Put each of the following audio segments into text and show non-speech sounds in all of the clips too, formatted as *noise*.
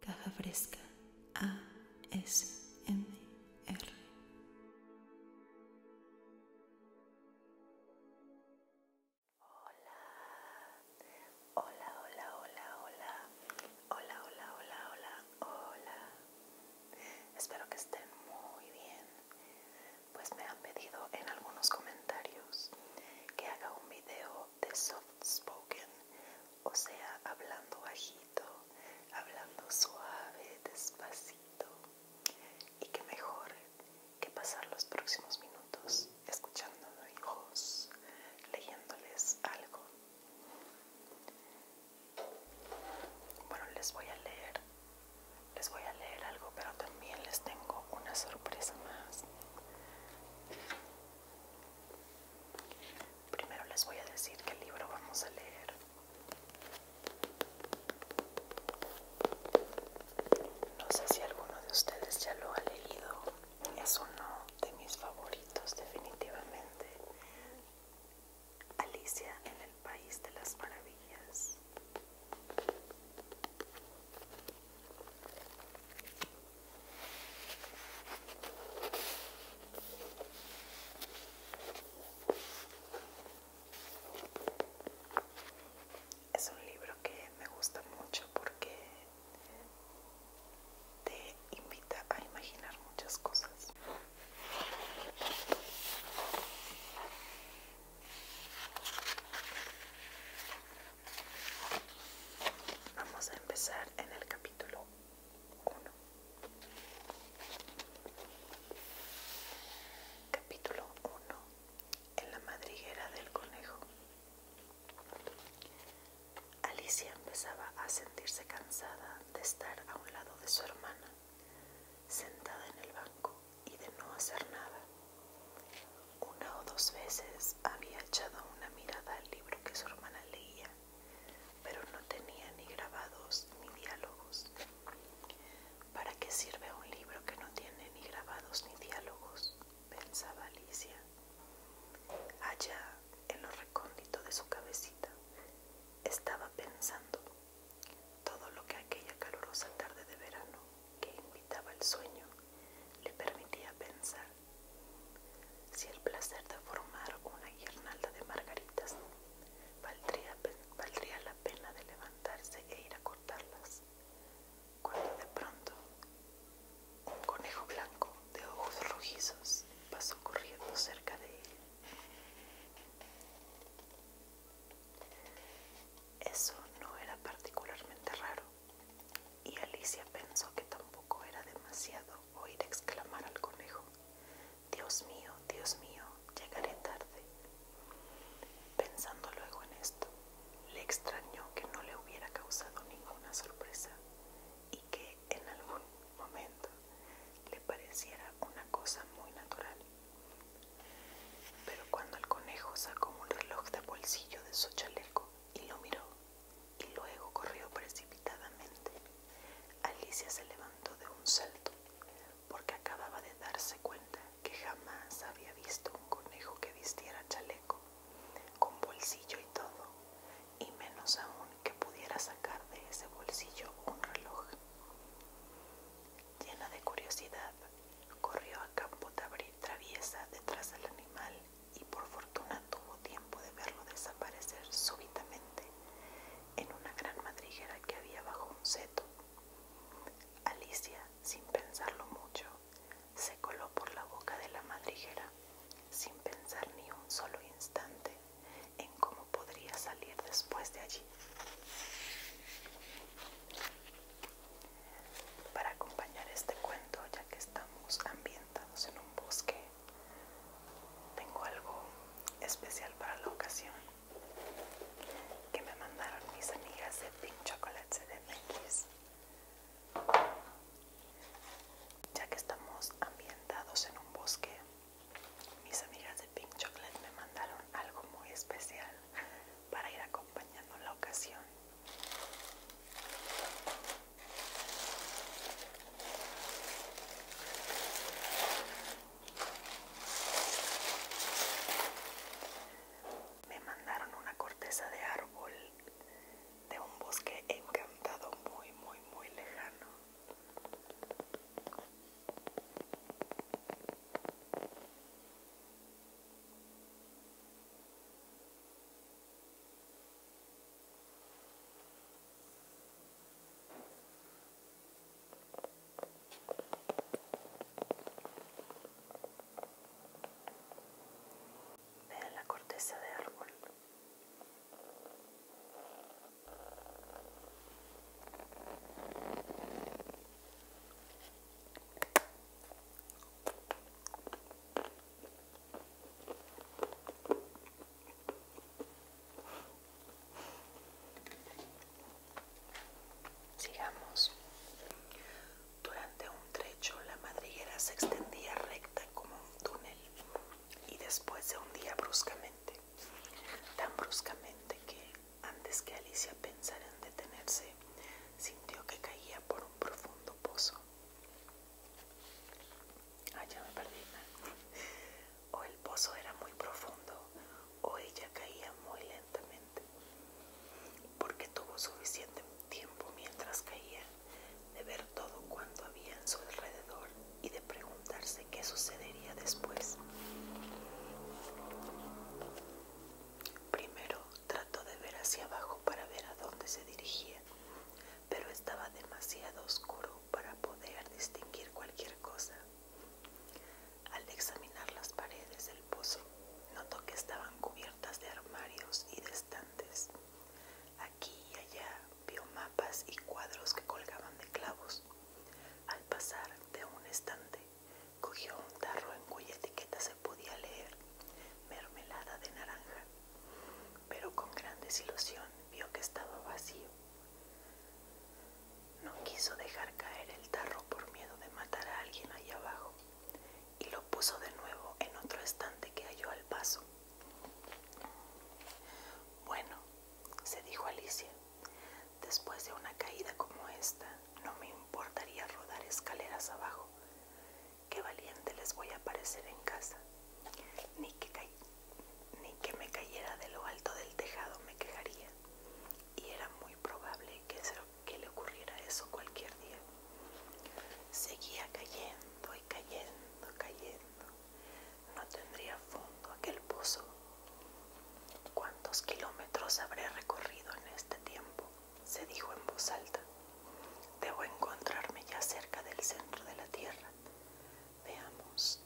Caja Fresca ASMR. Hola, hola, hola, hola, hola, hola, hola, hola, hola, hola. Espero que estén muy bien. Pues me han pedido en algunos comentarios que haga un video de soft spoken, o sea, hablando bajito, hablando suave, despacito. Y que mejor que pasar los próximos minutos escuchando a hijos, leyéndoles algo. Bueno, les voy a leer, les voy a leer algo, pero también les tengo una sorpresa más. Primero les voy a decir qué libro vamos a leer. No sé si alguno de ustedes ya lo ha leído. Es uno de mis favoritos definitivamente. Alicia en el País de las Maravillas. Es un libro que me gusta mucho porque te invita a imaginar muchas cosas. Vamos a empezar en el capítulo 1. Capítulo 1. En la madriguera del conejo. Alicia empezaba a sentirse cansada de estar a un lado de su hermana, sentada en el banco y de no hacer nada. Una o dos veces había echado una mirada al libro que su hermana leía, pero no tenía ni grabados ni diálogos. ¿Para qué sirve un libro que no tiene ni grabados ni diálogos? pensaba Alicia. Allá, en lo recóndito de su cabecita, estaba pensando todo lo que aquella calurosa tarde de verano que invitaba al sueño le permitía pensar si el placer de formar una guirnalda de margaritas valdría, la pena de levantarse e ir a cortarlas, cuando de pronto un conejo blanco de ojos rojizos pasó corriendo cerca de él. Eso no era particularmente raro, y Alicia pensó que tampoco era demasiado oír exclamar al conejo, Dios mío, Dios mío, llegaré tarde. Pensando luego en esto, le extrañó que no le hubiera causado ninguna sorpresa y que en algún momento le pareciera una cosa muy natural. Pero cuando el conejo sacó un reloj de bolsillo de su chaleco y lo miró, y luego corrió precipitadamente. Alicia se levantó de un salto, porque acababa de darse cuenta que jamás había visto un conejo que vistiera chaleco, con bolsillo y todo, y menos aún que pudiera sacar de ese bolsillo un reloj. Llena de curiosidad, corrió a campo traviesa detrás del animal y por fortuna tuvo tiempo de verlo desaparecer súbitamente en una gran madriguera que había bajo un seto. Alicia, sin pensarlo mucho, se coló por la boca de la madriguera, sin pensar ni un solo instante en cómo podría salir después de allí. Para acompañar este cuento, ya que estamos ambientados en un bosque, tengo algo especial para la ocasión que me mandaron mis amigas de Pink Chocolate CDMX. Ya que estamos ambientados en un bosque, mis amigas de Pink Chocolate me mandaron algo muy especial para ir acompañando la ocasión. Me mandaron una corteza de árbol de un bosque encantado muy, muy, muy lejano. Vean la corteza de árbol. Sigamos. Durante un trecho la madriguera se extendía recta como un túnel y después se hundía bruscamente, tan bruscamente que antes que Alicia pensara en detenerse, sintió que caía por un profundo pozo. Ah, me perdí. O el pozo era muy profundo o ella caía muy lentamente. Porque tuvo suficiente tiempo mientras caía de ver todo cuanto había en su alrededor y de preguntarse qué sucedería después. Primero trató de ver hacia abajo para ver a dónde se dirigía, pero estaba demasiado oscuro para poder distinguir cualquier cosa. Al examinar las paredes del pozo, notó que estaban cubiertas de armarios y de estantes. Aquí y allá vio mapas y cuadros que colgaban de clavos. Al pasar de un estante, cogió un tarro en cuya etiqueta se podía leer mermelada de naranja, pero con gran desilusión vio que estaba vacío. No quiso dejar caer el tarro por miedo de matar a alguien allá abajo y lo puso de nuevo en otro estante que halló al paso. Bueno, se dijo Alicia, después de una caída como esta, no me importaría rodar escaleras abajo, qué valiente les voy a parecer en casa. Ni que, ni que me cayera de lo alto del tejado me quejaría. Y era muy probable que, que le ocurriera eso cualquier día. Seguía cayendo y cayendo, cayendo. No tendría fondo aquel pozo. ¿Cuántos kilómetros habré recorrido en este tiempo? se dijo en voz alta. Debo encontrarme ya cerca del centro de la Tierra. Veamos,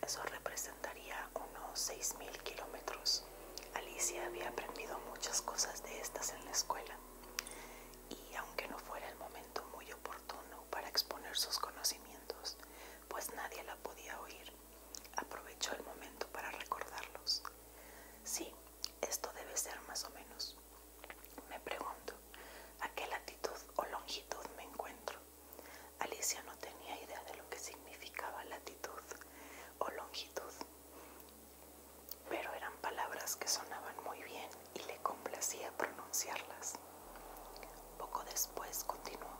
eso representaría unos seis mil kilómetros. Alicia había aprendido muchas cosas de estas en la escuela y aunque no fuera el momento muy oportuno para exponer sus conocimientos, pues nadie la podía oír, aprovechó el momento para recordarlos. Sí, esto debe ser más o menos. Me pregunto, ¿a qué latitud o longitud me encuentro? Alicia no tenía idea de lo que significaba latitud o longitud, pero eran palabras que sonaban muy bien y le complacía pronunciarlas. Poco después continuó,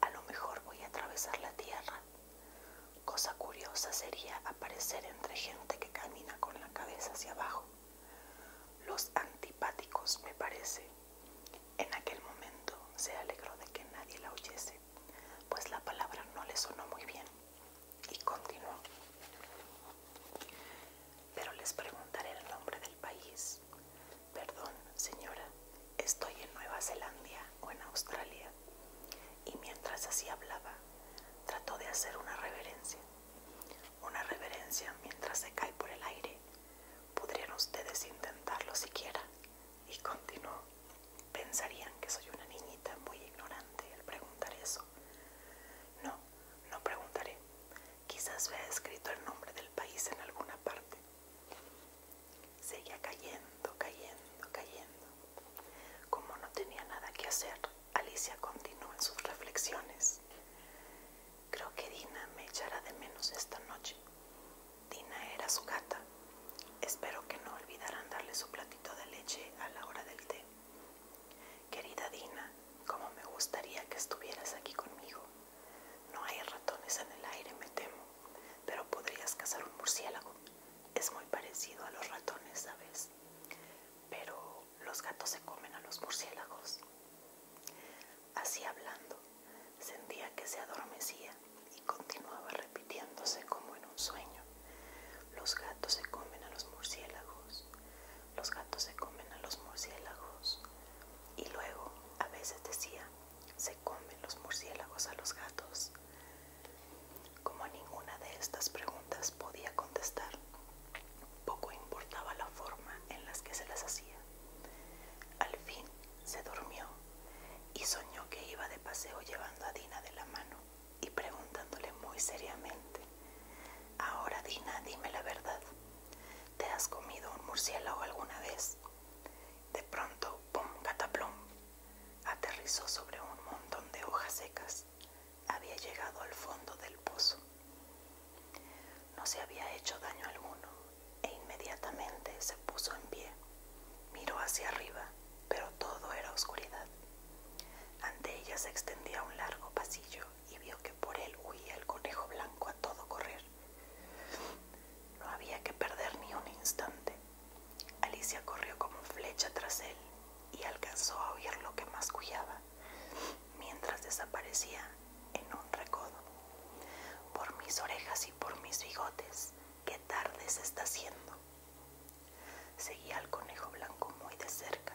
a lo mejor voy a atravesar la Tierra Cosa curiosa sería aparecer entre gente que camina con la cabeza hacia abajo. Los antipáticos, me parece. En aquel momento se alegró de que nadie la oyese, pues la palabra no le sonó muy bien, y continuó. Pero les preguntaré el nombre del país. Perdón, señora, estoy en Nueva Zelanda o en Australia y mientras así hablaba, trató de hacer una reverencia. Una reverencia mientras se cae por el aire. Podrían ustedes intentarlo siquiera. Y continuó. Pensarían que soy una niñita muy ignorante al preguntar eso. No, no preguntaré. Quizás vea escrito el nombre del país en alguna parte. Seguía cayendo, cayendo, cayendo. Como no tenía nada que hacer, Alicia continuó en sus reflexiones. Creo que Dina me echará de menos esta noche. Dina era su gata. Espero que no olvidaran darle su platito de leche a la hora del té. Querida Dina, cómo me gustaría que estuvieras aquí conmigo. No hay ratones en el aire, me temo, pero podrías cazar un murciélago. Es muy parecido a los ratones, ¿sabes? pero los gatos se comen a los murciélagos. Así hablando, sentía que se adormecía y continuaba repitiéndose como en un sueño. Los gatos se comen a los murciélagos, los gatos se comen a los murciélagos. Y luego, a veces decía, se comen los murciélagos a los gatos. Como ninguna de estas preguntas podía contestar, poco importaba la forma en las que se las hacía. Al fin se durmió y soñó que iba de paseo llevando a Dina de la mano y preguntándole muy seriamente, Ahora Dina, dime la verdad, ¿te has comido un murciélago alguna vez? De pronto, pum, gataplum!, aterrizó sobre un montón de hojas secas, había llegado al fondo del pozo. No se había hecho daño alguno e inmediatamente se puso en pie. Miró hacia arriba, pero todo era oscuridad. Ante ella se extendía un largo pasillo y vio que por él huía el conejo blanco a todo correr. No había que perder ni un instante. Alicia corrió como flecha tras él y alcanzó a oír lo que mascullaba mientras desaparecía en un recodo. Por mis orejas y por mis bigotes, qué tarde se está haciendo. Seguía al conejo blanco muy de cerca,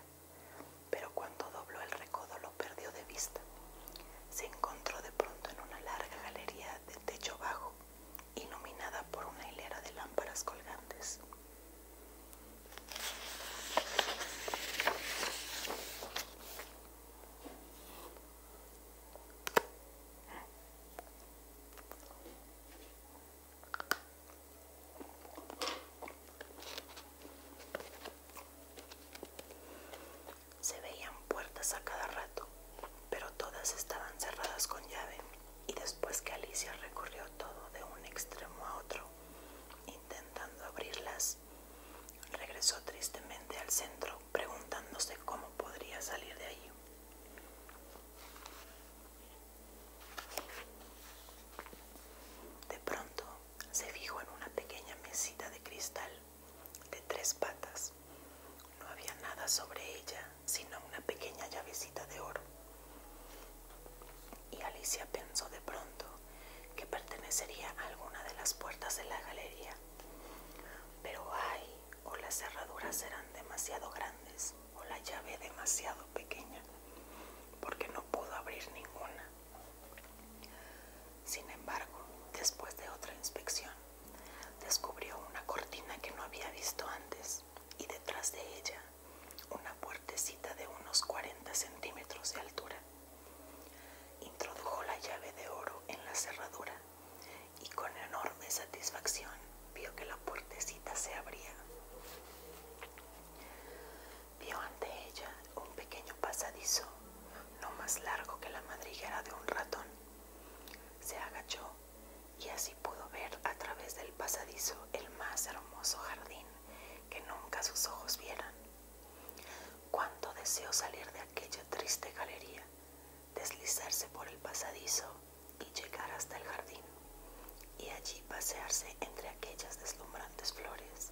pero cuando dobló el recodo lo perdió de vista. Se encontró de pronto en una larga galería de techo bajo, iluminada por una hilera de lámparas colgantes. Se veían puertas a cada rato, pero todas estaban cerradas con llave y después que Alicia recorrió todo de un extremo a otro, intentando abrirlas, regresó tristemente al centro preguntándose cómo podría salir de allí. De pronto se fijó en una pequeña mesita de cristal de tres patas. No había nada sobre ella sino una pequeña llavecita de oro. Y Alicia pensó de pronto que pertenecería a alguna de las puertas de la galería. Pero ay, o las cerraduras eran demasiado grandes o la llave demasiado pequeña, porque no pudo abrir ninguna. Sin embargo, después de otra inspección, descubrió una cortina que no había visto antes y detrás de ella una puertecita de unos 40 centímetros de altura. Introdujo la llave de oro en la cerradura y con enorme satisfacción vio que la puertecita se abría. Vio ante ella un pequeño pasadizo, no más largo que la madriguera de un ratón. Se agachó y así pudo ver a través del pasadizo el más hermoso jardín que nunca sus ojos vieran. Cuánto deseó salir de aquella triste galería, deslizarse por el pasadizo y llegar hasta el jardín, y allí pasearse entre aquellas deslumbrantes flores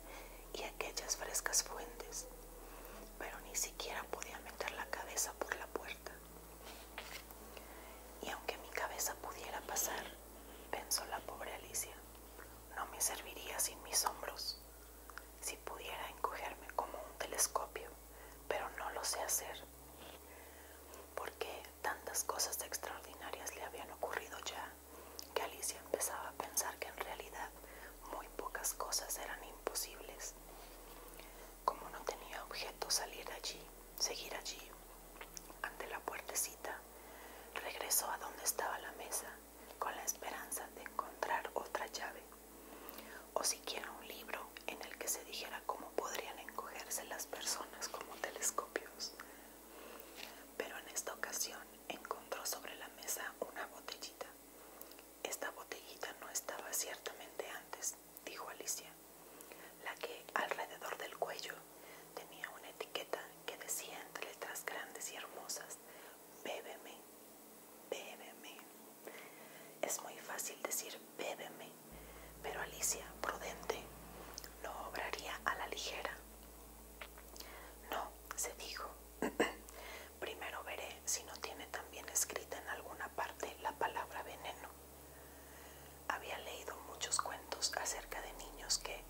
y aquellas frescas fuentes, pero ni siquiera podía meter la cabeza por la puerta. Y aunque mi cabeza pudiera pasar, pensó la pobre Alicia, no me serviría sin mis hombros. Si pudiera encogerme como un telescopio, pero no lo sé hacer. Porque tantas cosas extraordinarias le habían ocurrido ya, que Alicia empezaba a pensar que en realidad muy pocas cosas eran imposibles. Como no tenía objeto salir allí, seguir allí. Ante la puertecita, regresó a donde estaba la mesa con la esperanza de encontrar otra llave o siquiera un libro en el que se dijera cómo podrían encogerse las personas como telescopios. Pero en esta ocasión encontró sobre la mesa una botellita. Esta botellita no estaba ciertamente antes dijo Alicia, la que alrededor del cuello tenía una etiqueta que decía entre letras grandes y hermosas, bébeme, bébeme. Es muy fácil decir bébeme, pero Alicia, prudente, no obraría a la ligera. No, se dijo. *clears throat* Primero veré si no tiene también escrita en alguna parte la palabra veneno. Había leído muchos cuentos acerca de niños que,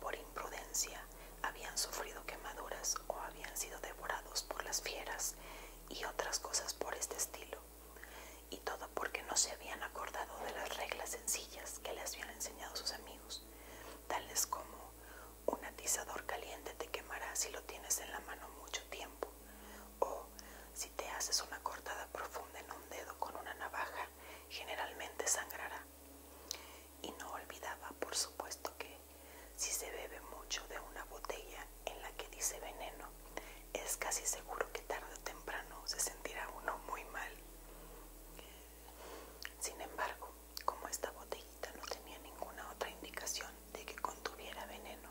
por imprudencia, habían sufrido quemaduras o habían sido devorados por las fieras y otras cosas por este estilo, y todo porque no se habían acordado de las reglas sencillas que les habían enseñado sus amigos, tales como un atizador caliente te quemará si lo tienes en la mano mucho tiempo, o si te haces una cortada profunda en un dedo con una navaja, generalmente sangrará. Y no olvidaba, por supuesto, que si se bebe mucho de una botella en la que dice veneno, es casi seguro que tarde o temprano se sentirá uno muy mal. Sin embargo, como esta botellita no tenía ninguna otra indicación de que contuviera veneno,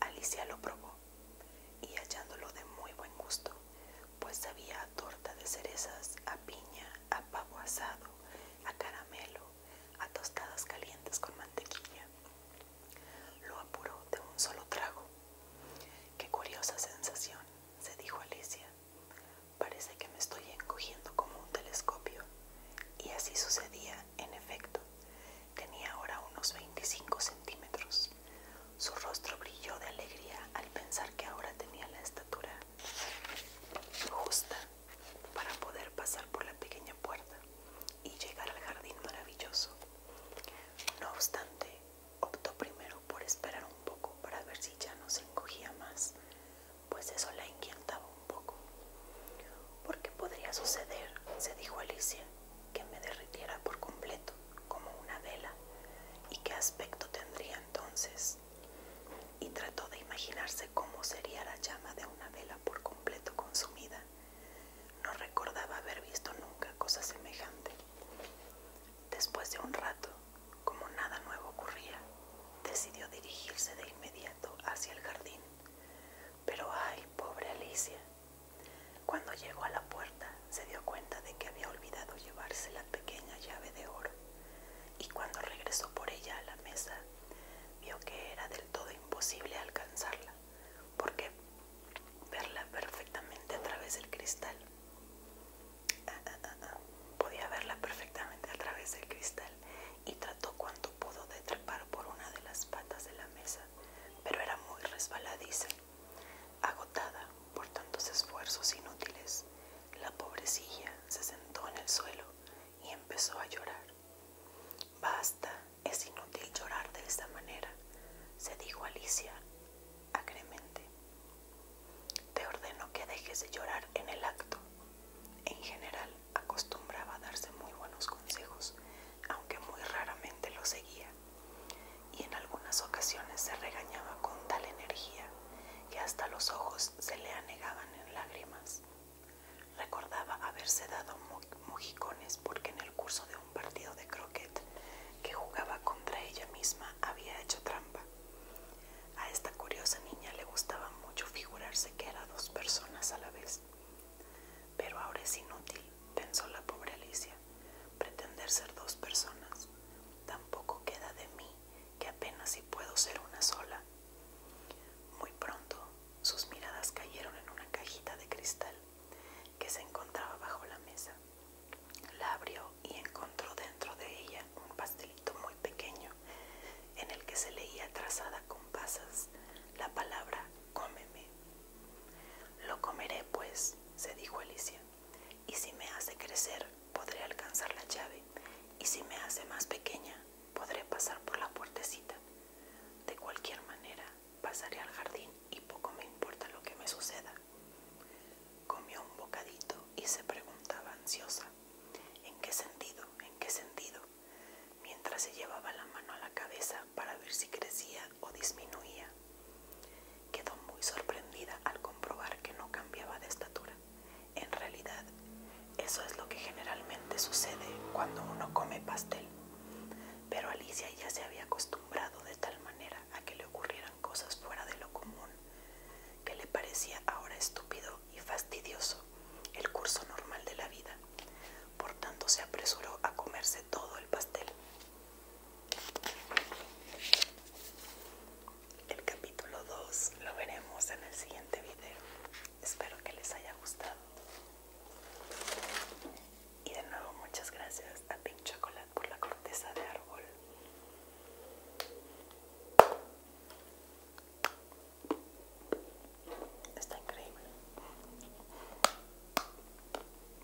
Alicia lo probó y hallándolo de muy buen gusto, pues sabía a torta de cerezas, a piña, a pavo asado, a caramelo, a tostadas calientes con mantequilla. Lo apuró de un solo trago. Qué curiosa sensación, se dijo Alicia. Parece que me estoy encogiendo como un telescopio. Y así sucedía, en efecto. Tenía ahora unos veinticinco centímetros. Su rostro brilló de alegría al pensar que ahora tenía la estatura justa para poder pasar por la pequeña puerta y llegar al jardín maravilloso. No obstante, optó primero por esperar un poco para ver si ya no se encogía más, pues eso la inquietaba un poco. ¿Por qué podría suceder? se dijo Alicia que me derritiera por completo, como una vela, y qué aspecto tendría entonces. Y trató de imaginarse cómo sería la llama de una vela por completo consumida. No recordaba haber visto nunca cosa semejante. Después de un rato, como nada nuevo ocurría, decidió dirigirse de inmediato hacia el jardín. Pero ay, pobre Alicia, cuando llegó a la puerta se dio cuenta de que había olvidado llevarse la pequeña llave de oro y cuando regresó por ella a la mesa vio que era del todo imposible alcanzarla porque verla perfectamente a través del cristal podía verla perfectamente a través del cristal y trató cuanto pudo de trepar por una de las patas de la mesa pero era muy resbaladiza Agotada por tantos esfuerzos inútiles, la pobrecilla se sentó en el suelo y empezó a llorar. Basta, es inútil llorar de esta manera, se dijo Alicia acremente. Te ordeno que dejes de llorar en el acto. En general acostumbraba a darse muy buenos consejos, aunque muy raramente lo seguía y en algunas ocasiones se regañaba con tal energía que hasta los ojos se le anegaban en lágrimas. Recordaba haberse dado mojicones porque en el curso de un partido de croquet que jugaba contra ella misma había hecho trampa. A esta curiosa niña le gustaba mucho figurarse que era dos personas a la vez, pero ahora es inútil pensó la pobre Alicia, pretender ser dos personas. Tampoco queda de mí que apenas si puedo ser una sola. Muy pronto sus miradas cayeron en una cajita de cristal que se encontraba bajo la mesa. La abrió y encontró dentro de ella un pastelito muy pequeño en el que se leía trazada con pasas la palabra cómeme. Lo comeré, pues, se dijo Alicia, y si me hace crecer, podré alcanzar la llave, y si me hace más pequeña, podré pasar por la puertecita. De cualquier manera, pasaré al jardín y poco me importa lo que me suceda. Comió un bocadito y se preguntaba ansiosa, ¿en qué sentido? ¿En qué sentido? Mientras se llevaba la mano a la cabeza para ver si crecía o disminuía. Quedó muy sorprendida al comprobar que no cambiaba de estatura. En realidad, eso es lo que generalmente sucede cuando uno come pastel. Pero Alicia ya se había acostumbrado de tal manera a que le ocurrieran cosas fuera de lo común, que le parecía ahora estúpido y fastidioso el curso normal de la vida. Por tanto, se apresuró a comerse todo el pastel. El capítulo 2 lo veremos en el siguiente video. Espero que les haya gustado. Y de nuevo muchas gracias a Pink Chocolate por la corteza de árbol. Está increíble.